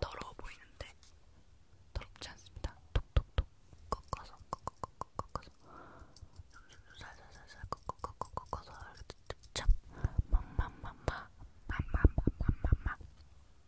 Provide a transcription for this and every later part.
더러워 보이는데 더럽지 않습니다. 톡톡톡 꺾어서 꺾어서 꺾어서 살살살살 꺾어서 꺾어서 찹찹 맘맘맘마 맘맘맘맘맘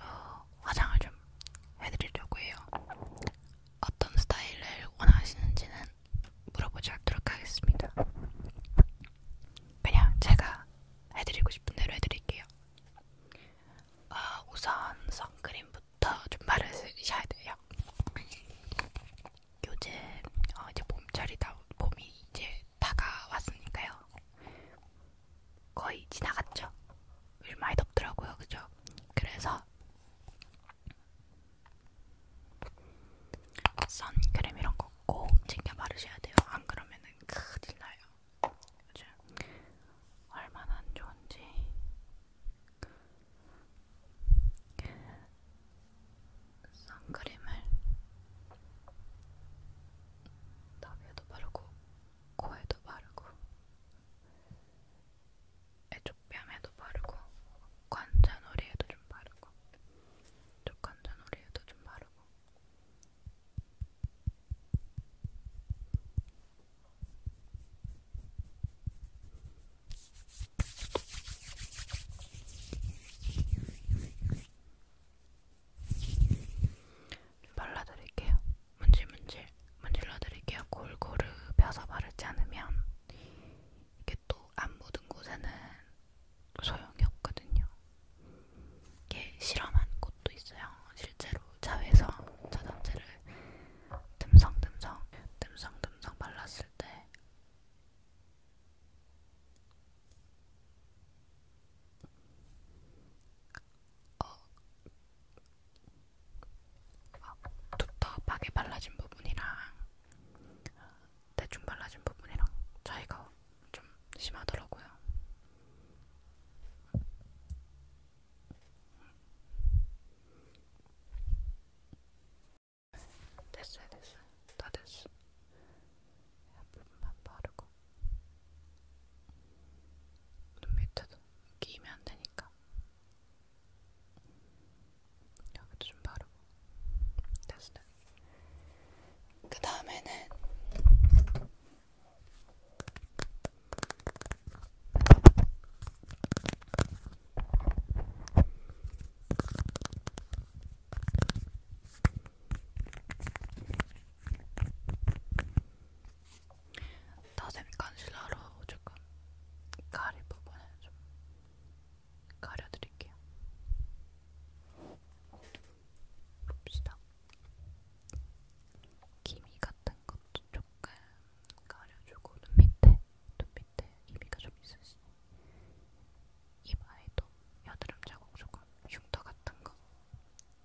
어, 화장을 좀 해드리려고 해요. 어떤 스타일을 원하시는지는 물어보지 않도록 하겠습니다. 그냥 제가 해드리고 싶은 대로 해드릴게요. 어, 우선 선크림부터 좀 바르셔야 돼요. 요즘 어, 이제 봄철이다 봄이 이제 다가왔으니까요. 거의 지나갔죠. 얼마 이 덥더라고요, 그죠? 그래서 선크림 이런 거 꼭 챙겨 바르셔야 돼요. 안 그러면은 큰일 나요. 요즘 얼마나 안 좋은지. 선크림을 나비에도 바르고 코에도 바르고 애초뺨에도 바르고 관자놀이에도 좀 바르고 쪽 관자놀이에도 좀 바르고 발라드릴게요. 문질문질 문질러드릴게요. 골고루 펴서 바르지 않으면 이게 또 안 묻은 곳에는 소용이 없거든요. 이게 실험한 곳도 있어요. 실제로 자외선 차단제를 듬성듬성 듬성듬성 발랐을 때 어, 어, 두텁하게 발라진 부분이랑 대충 발라진 부분이랑 차이가 좀 심하더라고요. 됐어요, 됐어요. 다 됐어. 옆부분만 바르고 눈 밑에도 끼면 안 되니까 여기도 좀 바르고 됐어요. 그 다음에는 다샘 컨실러로 조금 가릴 부분을 좀 가려드릴게요. 봅시다. 기미 같은 것도 조금 가려주고 눈 밑에, 눈 밑에 기미가 좀 있으시. 입 아이도 여드름 자국 조금 흉터 같은 거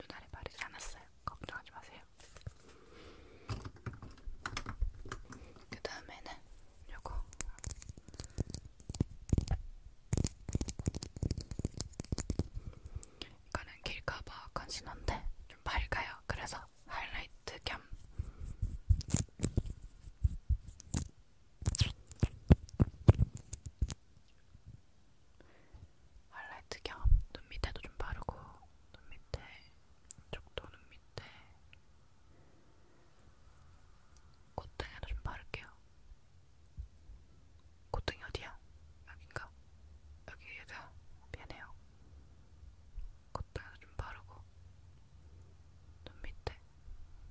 눈알에 바르지 않았어요. 걱정하지 마세요. 그 다음에는 요거 이거는 길가버 컨실러인데 좀 밝아요. 그래서 하이라이트 겸 하이라이트 겸 눈밑에도 좀 바르고 눈밑에 이쪽도 눈밑에 콧등에도 좀 바를게요. 콧등이 어디야? 여긴가? 여기에다 미안해요. 콧등에도 좀 바르고 눈밑에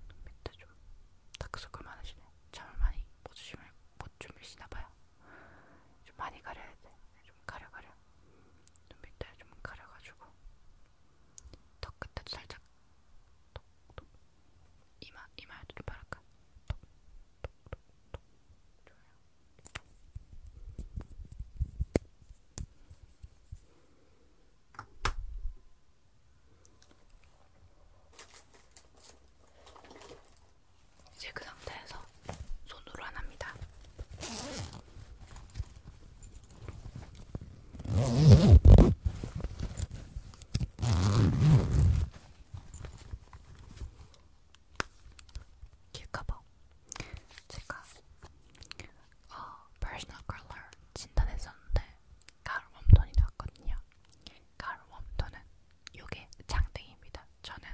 눈밑에 좀 다크서클 많으시네. 잠을 많이 못 주무시나봐요. 좀 많이 가려야 돼. 좀 가려 가려. 좀 밑에 좀 가려가지고 턱 끝에도 살짝 톡톡 이마 이마에도 좀 바를까? 톡톡톡톡 좋아요. 이제 그 상태에서 손으로 안 합니다. 길까봐 제가 어, personal color 진단했었는데 가을 웜톤이 나왔거든요. 가을 웜톤은 요게 장등입니다. 저는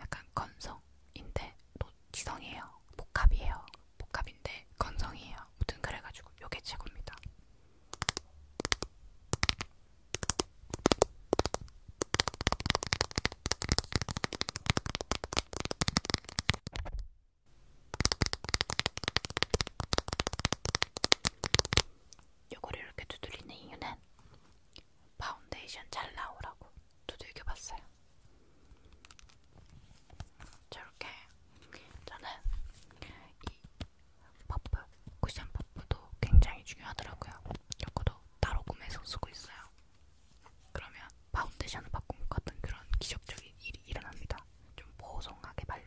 약간 건성인데 또 지성이에요. 복합이에요. 복합인데 건성이에요. 무튼 그래가지고 요게 최고입니다. 요거를 이렇게 두드리는 이유는 파운데이션 잘 나오라고 두들겨 봤어요. 저렇게 저는 이 퍼프, 쿠션 퍼프도 굉장히 중요하더라고요. 이것도 따로 구매해서 쓰고 있어요. 그러면 파운데이션을 바꾼 것 같은 그런 기적적인 일이 일어납니다. 좀 보송하게 발려요.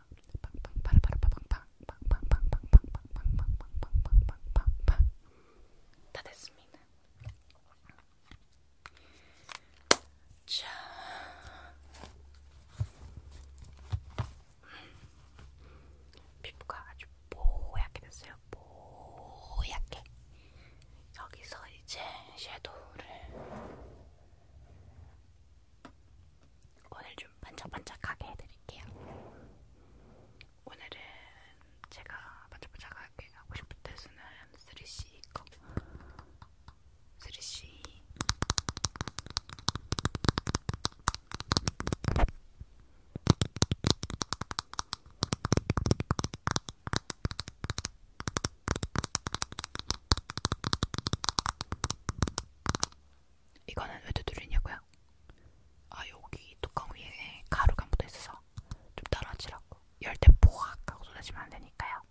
다 됐습니다. 자, 피부가 아주 뽀얗게 됐어요. 뽀얗게. 여기서 이제 섀도우를 오늘 좀 반짝반짝하게 해드릴게요. 오늘은 제가 반짝반짝하게 하고 싶을 때 쓰는 3C 컵 3C 이거는 왜 두드리냐고요? 아 여기 뚜껑 위에 가루가 묻어있어서 좀 떨어지라고 열때 포악 하고 쏟아지면 안되니까요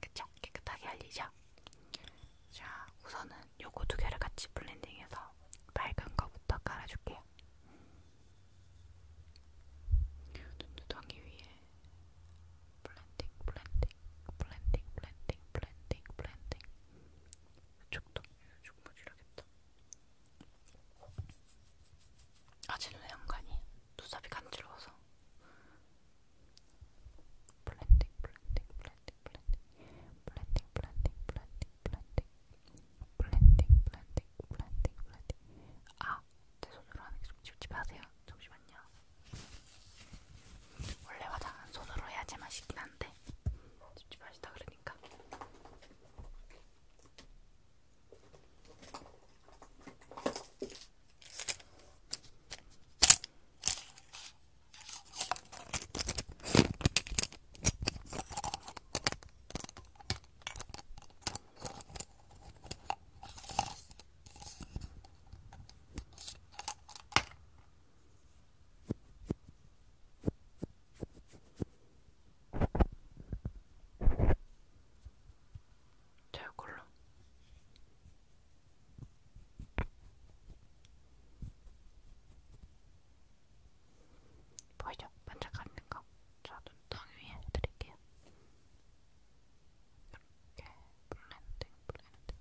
그쵸? 깨끗하게 알리죠? 자 우선은 요거 두 개를 같이 블렌딩해서 밝은 거부터 깔아줄게요 눈두덩이 위에 블렌딩, 블렌딩, 블렌딩, 블렌딩, 블렌딩, 블렌딩. 이쪽도 이쪽 무지라겠다. 아직 눈에 안 가니? 눈썹이 간지러워서. 블렌딩, 블렌딩, 블렌딩, 블렌딩, 블렌딩, 블렌딩, 블렌딩, 블렌딩. 블렌딩 블렌딩 블렌딩 블렌딩 아! 제 손으로 하는 게좀 찝찝하세요 잠시만요. 원래 화장은 손으로 해야지만 쉽긴 한데 찝찝하시다 그러니까. 자, 이걸로. 보이죠? 반짝거리는 거. 저눈 덩이 위에 해드릴게요. 이렇게 블렌딩, 블렌딩,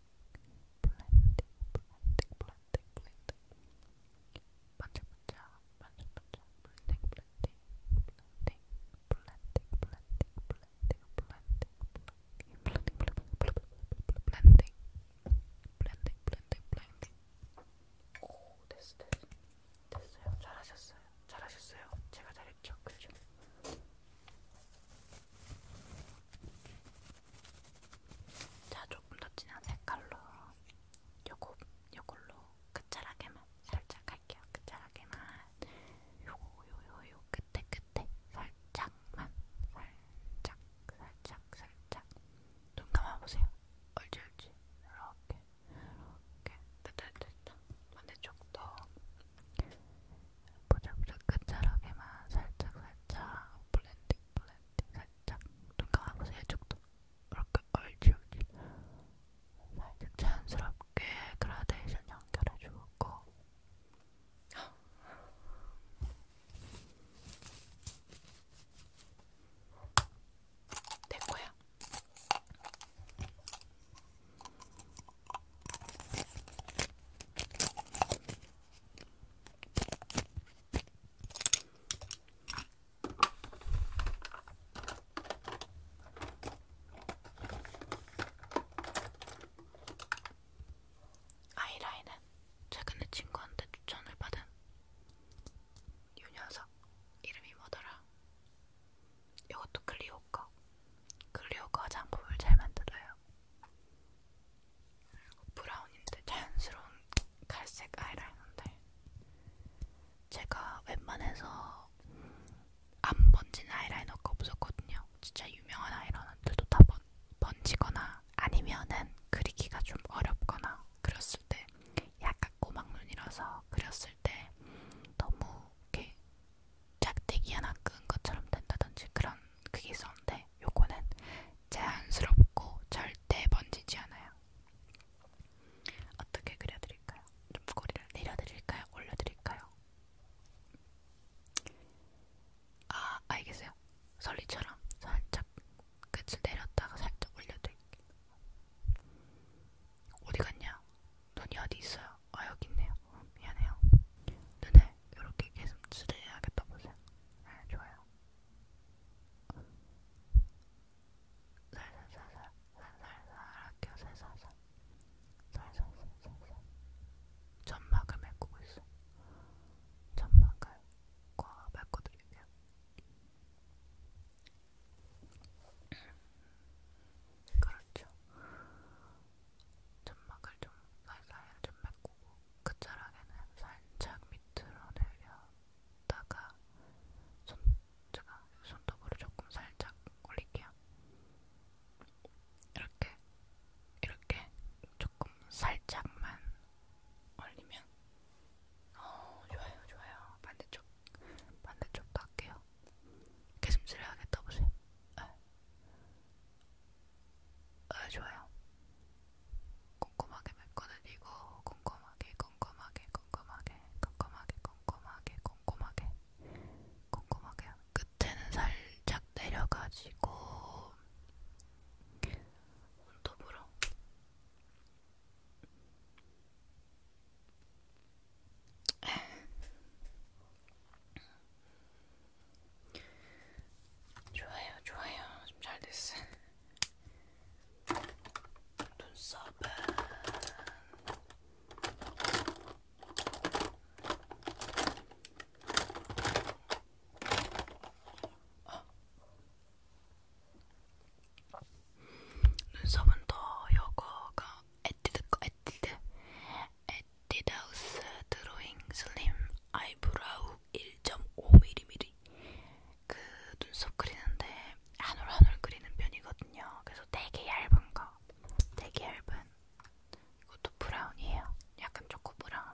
블렌딩, 블렌딩, 블렌딩, 블렌딩, 반짝반짝, 반짝반짝, 블렌딩, 블렌딩, 블렌딩, 블렌딩, 블렌딩, 블렌딩, 블렌딩, 블렌딩, 블렌딩, 블렌딩, 블렌딩, 블렌딩, 블렌딩. 오, 됐어, 됐어. 됐어요. 잘하셨어요. 잘하셨어요. 제가 잘했죠. 그죠? 자, 조금 더 진한 색깔로 요거, 요걸로 끝자락에만 살짝 할게요. 끝자락에만 요거, 요요, 요 끝에 끝에 살짝만 살짝, 살짝, 살짝 눈 감아보세요. 얼지 얼지 이렇게 이렇게 됐다 됐다 반대쪽도 보자보자 끝자락에만 살짝 살짝 블렌딩 블렌딩 살짝 눈 감아보세요 쪽도 이렇게 얼지 얼지 살짝 자연스럽게 그라데이션 연결해주고 될 거야. 아이라인은 최근에 친구한테 추천을 받은 요 녀석 이름이 뭐더라? 이것도 클리오 거. 클리오 거 화장품을 잘 만들어요. 브라운인데 자연스러운 갈색 아이라인인데 제가 웬만해서 안 번진 아이라이너가 없었거든요. 진짜 유명한 아이라이너들도 다 번, 번지거나 아니면은 그리기가 좀 어렵거나 그렸을 때 약간 꼬막눈이라서 그렸을 때 너무 이렇게 짝대기 하나 끈 것처럼 된다든지 그런 그게 있었는데 요거는 자연스럽고 절대 번지지 않아요. 어떻게 그려드릴까요? 좀 꼬리를 내려드릴까요? 올려드릴까요? 아 알겠어요. 설리처럼 살짝 끝을 내렸다가 살짝 올려드릴게요. 어디 갔냐? 눈이 어디 있어요? 아 여기 있네요. 미안해요. 눈을 이렇게 계속 수대해야겠다 보세요. 네, 좋아요. 살살살살 살살살 할게요. 살살살 살살살살살 점막을 메꾸고 있어. 점막을 꽉 메꿔드릴게요. 그렇죠. 점막을 좀 살살 좀 메꾸고 끝자락에는 살짝 밑으로 내렸다가 손 제가 손톱으로 조금 살짝 올릴게요. 이렇게 이렇게 조금 살짝만 올리면 어 좋아요 좋아요 반대쪽 반대쪽도 할게요. 개슴질 해야겠다 보세요. 네. 네, 좋아요. 꼼꼼하게 메꿔드리고 꼼꼼하게 꼼꼼하게 꼼꼼하게 꼼꼼하게 꼼꼼하게 꼼꼼하게 꼼꼼하게 끝에는 살짝 내려가지고 손톱으로 좋아요, 좋아요. 좀 잘 됐어. 눈썹은 어. 눈썹은 더 여거가 에뛰드 거 에뛰드 에뛰드하우스 드로잉 슬림 아이브라우 1.5mm 그 눈썹 그리는데 한올 한올 그리는 편이거든요. 그래서 되게 얇은 거, 되게 얇은 이것도 브라운이에요. 약간 초코 브라운.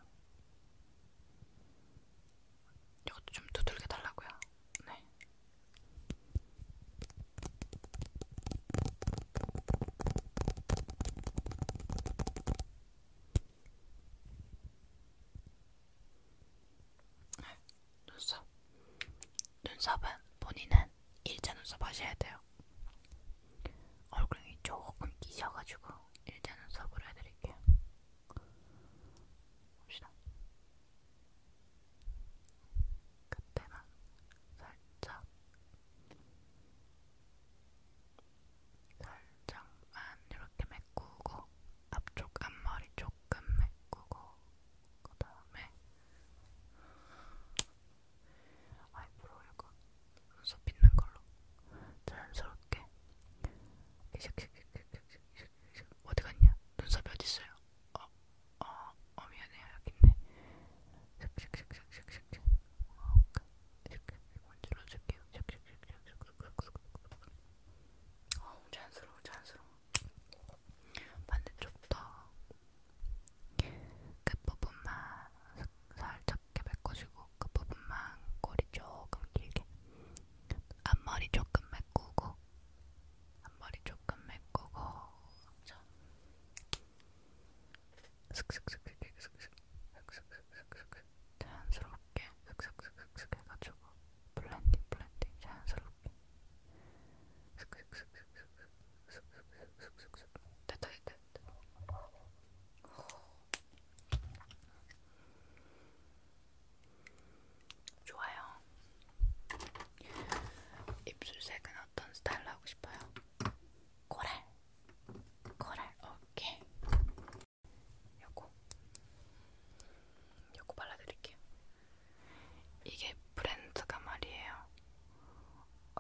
이것도 좀 두들겨 달라고요. 네. 네, 눈썹. 눈썹은 본인은 일자 눈썹 하셔야 돼요. 얼굴이 조금 끼셔가지고 일자 눈썹으로 해드릴게요. 봅시다. 그때만 살짝 살짝만 이렇게 메꾸고 앞쪽 앞머리 조금 메꾸고 그 다음에 아이브로우 이거 눈썹 빗는 걸로 자연스럽게 어디 갔냐? 눈썹이 어디 있어요? 어, 어, 어 미안해요 여기 있네. 이렇게 문질러줄게요. 어우, 잔스러워, 잔스러워. 반대쪽 더끝 부분만 살짝 메꿔주고 끝 부분만 꼬리 조금 길게 앞머리 조금 메꾸고 앞머리 조금 메꾸고. 그렇죠? 자연스럽게 슥슥슥슥 해가지고 블렌딩 블렌딩 자연스럽게 슥슥슥슥슥슥슥슥슥슥슥 됐다 됐다 됐다 좋아요 입술색은 어떤 스타일로 하고 싶어요? 코랄 코랄 오케이. 요거 요거 발라드릴게요. 이게 브랜드가 말이에요.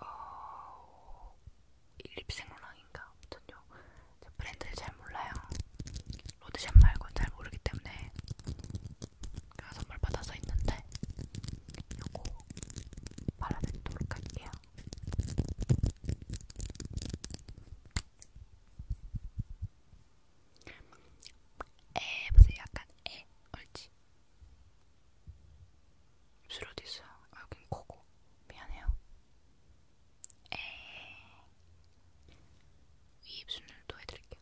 어, 일립생로랑인가 아무튼요. 브랜드를 잘 몰라요. 로드샵 말고 잘 모르기 때문에 선물 받아서 있는데 요거 발라드리도록 할게요. 에 보세요 약간 에 옳지 입술 어디 있어요? 아, 여긴 코고 미안해요 에위 입술을 또 해드릴게요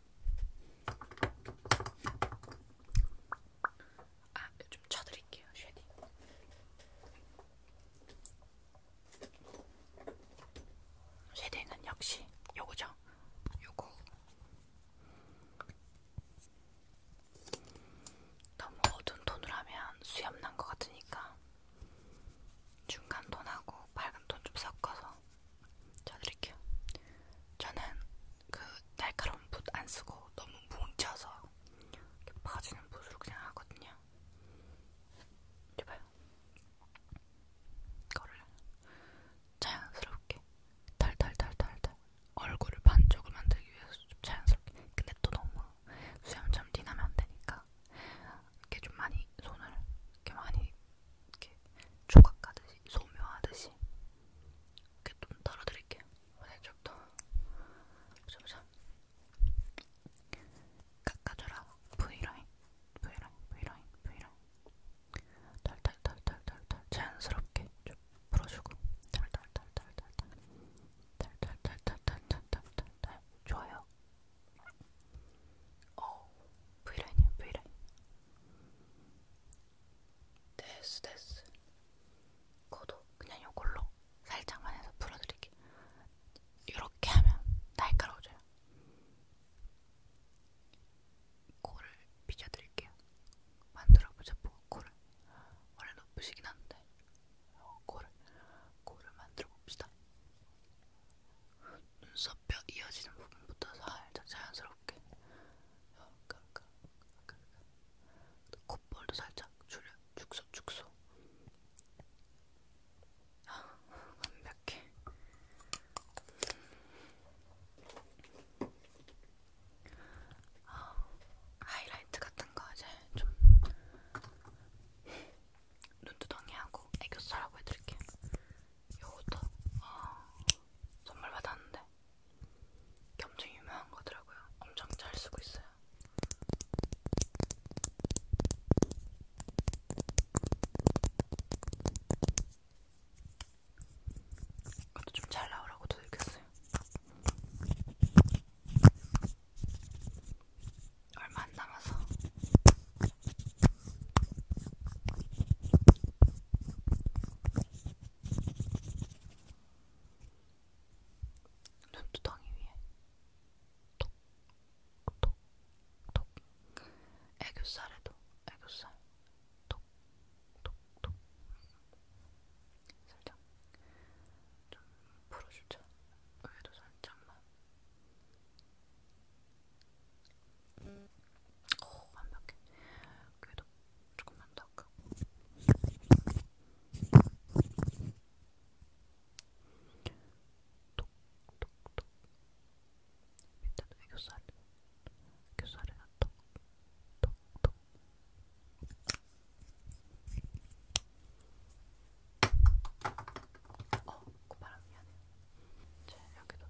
아, 좀 쳐드릴게요, 쉐딩. 쉐딩은 역시 요거죠. 요거. 너무 어두운 톤으로 하면 수염 난 것 같으니까 중간 톤하고 밝은 톤 좀 섞어서 쪄드릴게요. 저는 그 날카로운 붓 안 쓰고 너무 뭉쳐서 이렇게 퍼지는 붓으로 그냥 하거든요. 이봐요. 이거를 자연스럽게 탈탈탈탈탈 얼굴을 반쪽을 만들기 위해서 좀 자연스럽게 근데 또 너무 수염처럼 티나면 안 되니까 이렇게 좀 많이 손을 이렇게 많이 이렇게 조각까지 소묘하듯이 이렇게 좀 덜어드릴게요. 살짝 더 점점 깎아줘라. V라인, V라인, V라인, V라인. 달달달달달달 자연스럽게 좀 풀어주고 달달달달달달 달달달달달달달달 좋아요. 어 V라인이야 V라인 됐어 됐어 코도 그냥 요걸로 살짝만 해서 풀어드릴게 요렇게 하면 날카로워져요 코를 빗어드릴게요 만들어보자고 뭐, 코를 원래 높으시긴 한데 어, 코를 코를 만들어봅시다 눈썹뼈 이어지는 부분부터 살짝 자연스럽게 깡깡 어, 그러니까, 그러니까, 그러니까. 콧볼도 살짝 줄여 축소 축소 아, 완벽해 아, 하이라이트 같은 거 이제 좀 눈두덩이하고 애교살하고 해드릴게요. 요거도 아, 선물 받았는데 이게 엄청 유명한 거더라고요. 엄청 잘 쓰고 있어요. 이것도 좀 잘 나오라고 들겠어요. 얼마 안 남아서 눈두덩이 위에 톡 톡 톡 애교살에도 애교살 톡 톡 톡 살짝 좀 풀어주자. 위에도 살짝만 오, 완벽해. 그래도 조금만 더 할까? 톡톡톡. 밑에도 애교살. 애교살이나 톡톡톡. 어, 고바람 그 미안해. 이제 여기도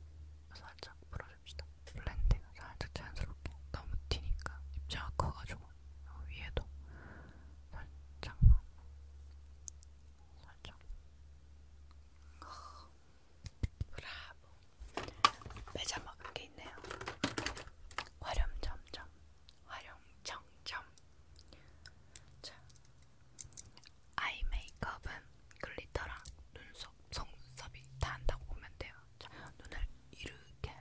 살짝 풀어줍시다. 블렌딩 살짝 자연스럽게. 너무 튀니까 입자가 커가지고 위에도 살짝만 살짝. 어, 브라보. 매자 먹은 게 있네요. 화렴점점, 화렴정점. 자, 아이 메이크업은 글리터랑 눈썹 속눈썹이 다한다고 보면 돼요. 자, 눈을 이렇게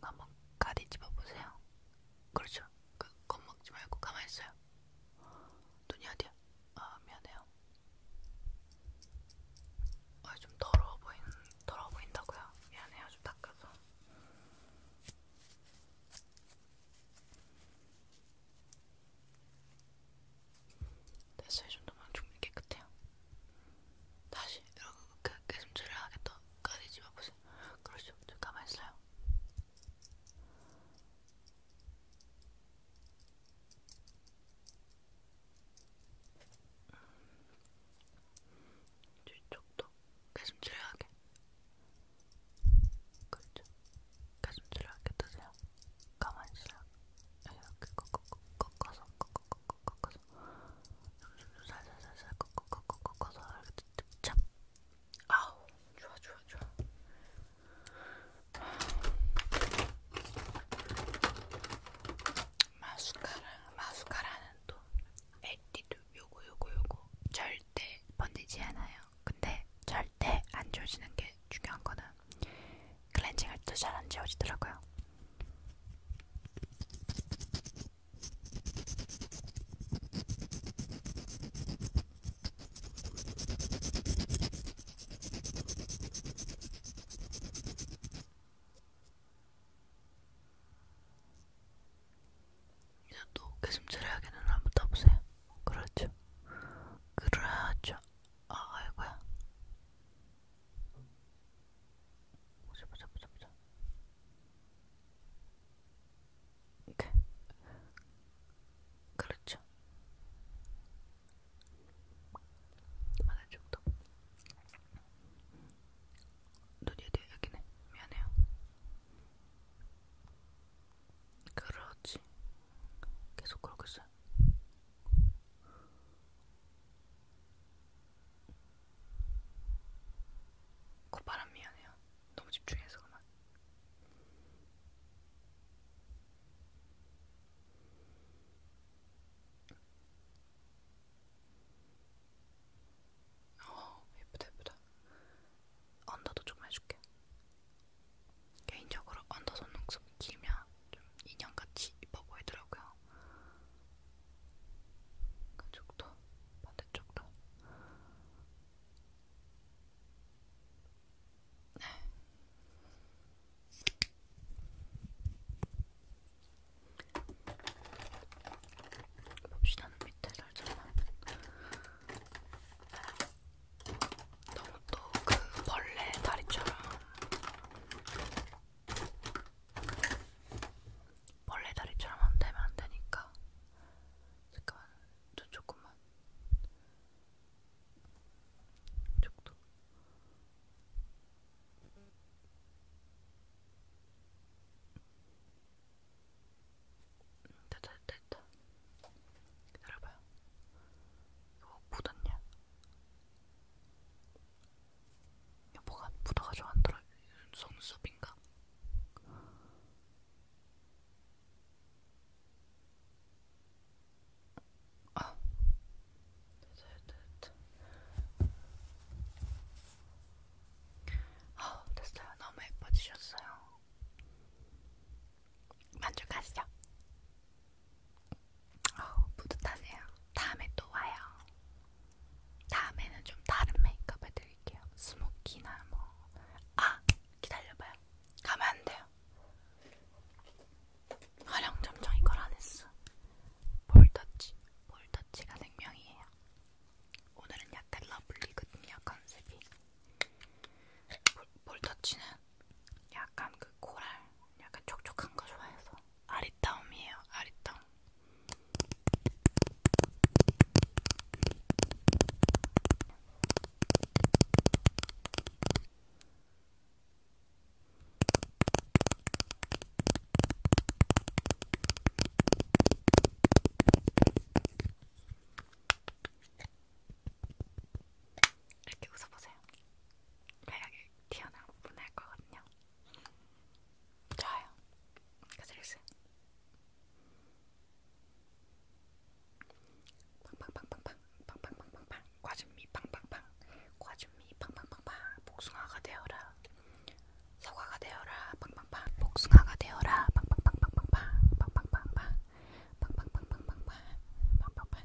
한번 가리 집어보세요. 그렇죠. 그, 겁먹지 말고 가만히 있어요. 눈이 어디야? 아, 미안해요. 아, 좀 더러워 보인, 더러워 보인다고요? 미안해요. 좀 닦아서. 됐어 이 정도면 충분히 깨끗해요. 다시 이렇게 깨슴질을 하겠다까지 집어보세요. 그렇죠? 저 가만 있어요. 뒤쪽도 깨슴질하게 그 그렇죠. 가슴줄을 이렇게 뜨세요. 가만히있어요 이렇게 꺾어서 꺾어서 꺾어서 살살살살 꺾어서 꺾어서 이렇게 찹! 아우 좋아 좋아 좋아 마스카라 마스카라는 또 에뛰드 요거 요거 요거 절대 번지지 않아요. 근데 절대 안 조지는 게 중요한 거는 클렌징 할때잘안 지워지더라고요. 이제 또 개슴 처리하기는 한번 따보세요. 그렇죠. 그렇죠. 아, 아이고야. 보자, 보자, 보자, 보자. 이렇게. 그렇죠. 말할 정도. 눈이 돼, 여기네. 미안해요. 그렇지. 계속 걸고 있어요. 콧바람 그 미안해요. 너무 집중해서 그만. 어 예쁘다 예쁘다. 언더도 조금 해줄게. 개인적으로 언더손 눈썹 길면 좀 인형같이 이뻐 보이더라고요. 그쪽도 반대쪽도 네. 봅시다. 밑에 살짝만 너무 또 그 벌레 다리처럼 벌레 다리처럼 안 되면 안 되니까 잠깐만 좀 조금만 쪽도 됐다 됐다 됐다 기다려봐요 이거 어, 묻었냐? 뭐가 붙어가지고 안 돌아 손수빈가? 아, 됐다, 됐다. 아, 됐어요. 너무 예뻐지셨어요. 만족하시죠? 어우, 뿌듯하네요. 다음에 또 와요. 다음에는 좀 다른 메이크업을 드릴게요. 스모키나 뭐. 아! 기다려봐요. 가면 안 돼요. 화령 점정 이걸 안 했어. 볼터치. 볼터치가 생명이에요. 오늘은 약간 러블리거든요, 컨셉이. 볼, 볼터치는 약간 그 코랄, 약간 촉촉한 거 좋아해서 아리따움이에요, 아리따움. 이렇게 웃어보세요. 매력이 튀어나온 분할 거거든요. 좋아요. 가슬슬. 빵빵빵빵빵 빵빵빵빵빵 과즙미 빵빵빵 과즙미 빵빵빵빵 복숭아가 되어라 사과가 되어라 빵빵빵 복숭아가 되어라 빵빵빵빵빵빵 빵빵빵빵 빵빵빵빵빵빵 빵빵빵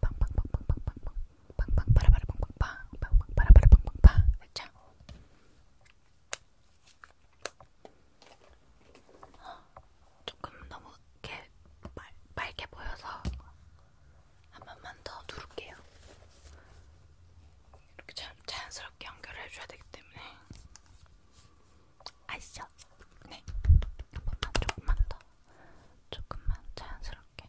빵빵빵빵빵빵빵 빵빵빠라바라빵빵빵 빵빵빠라바라빵빵빵 됐죠? 조금 너무 이렇게 빨, 빨게 보여서 한 번만 더 누를게요. 이렇게 자, 자연스럽게 연결을 해줘야 되기 때문에 아시죠? 네, 한 번만 조금만 더 조금만 자연스럽게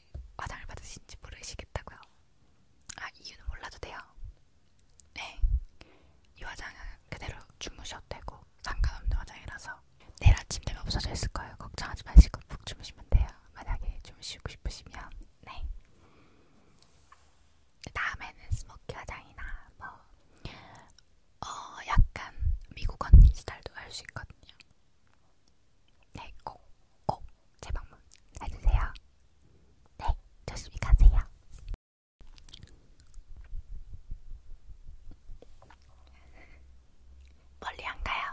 화장을 받으신지 모르시겠다고요. 아 이유는 몰라도 돼요. 네, 이 화장은 그대로 주무셔도 되고 상관없는 화장이라서 내일 아침 되면 없어져 있을 거예요. 걱정하지 마시고 푹 주무시면 돼요. 만약에 주무시고 싶으시면 네. 그 다음에는 스모키 화장이나 뭐 어, 약간 미국 언니 스타일도 할 수 있거든요. 네, 꼭꼭 재방문 해주세요. 네, 조심히 가세요. 멀리 안 가요.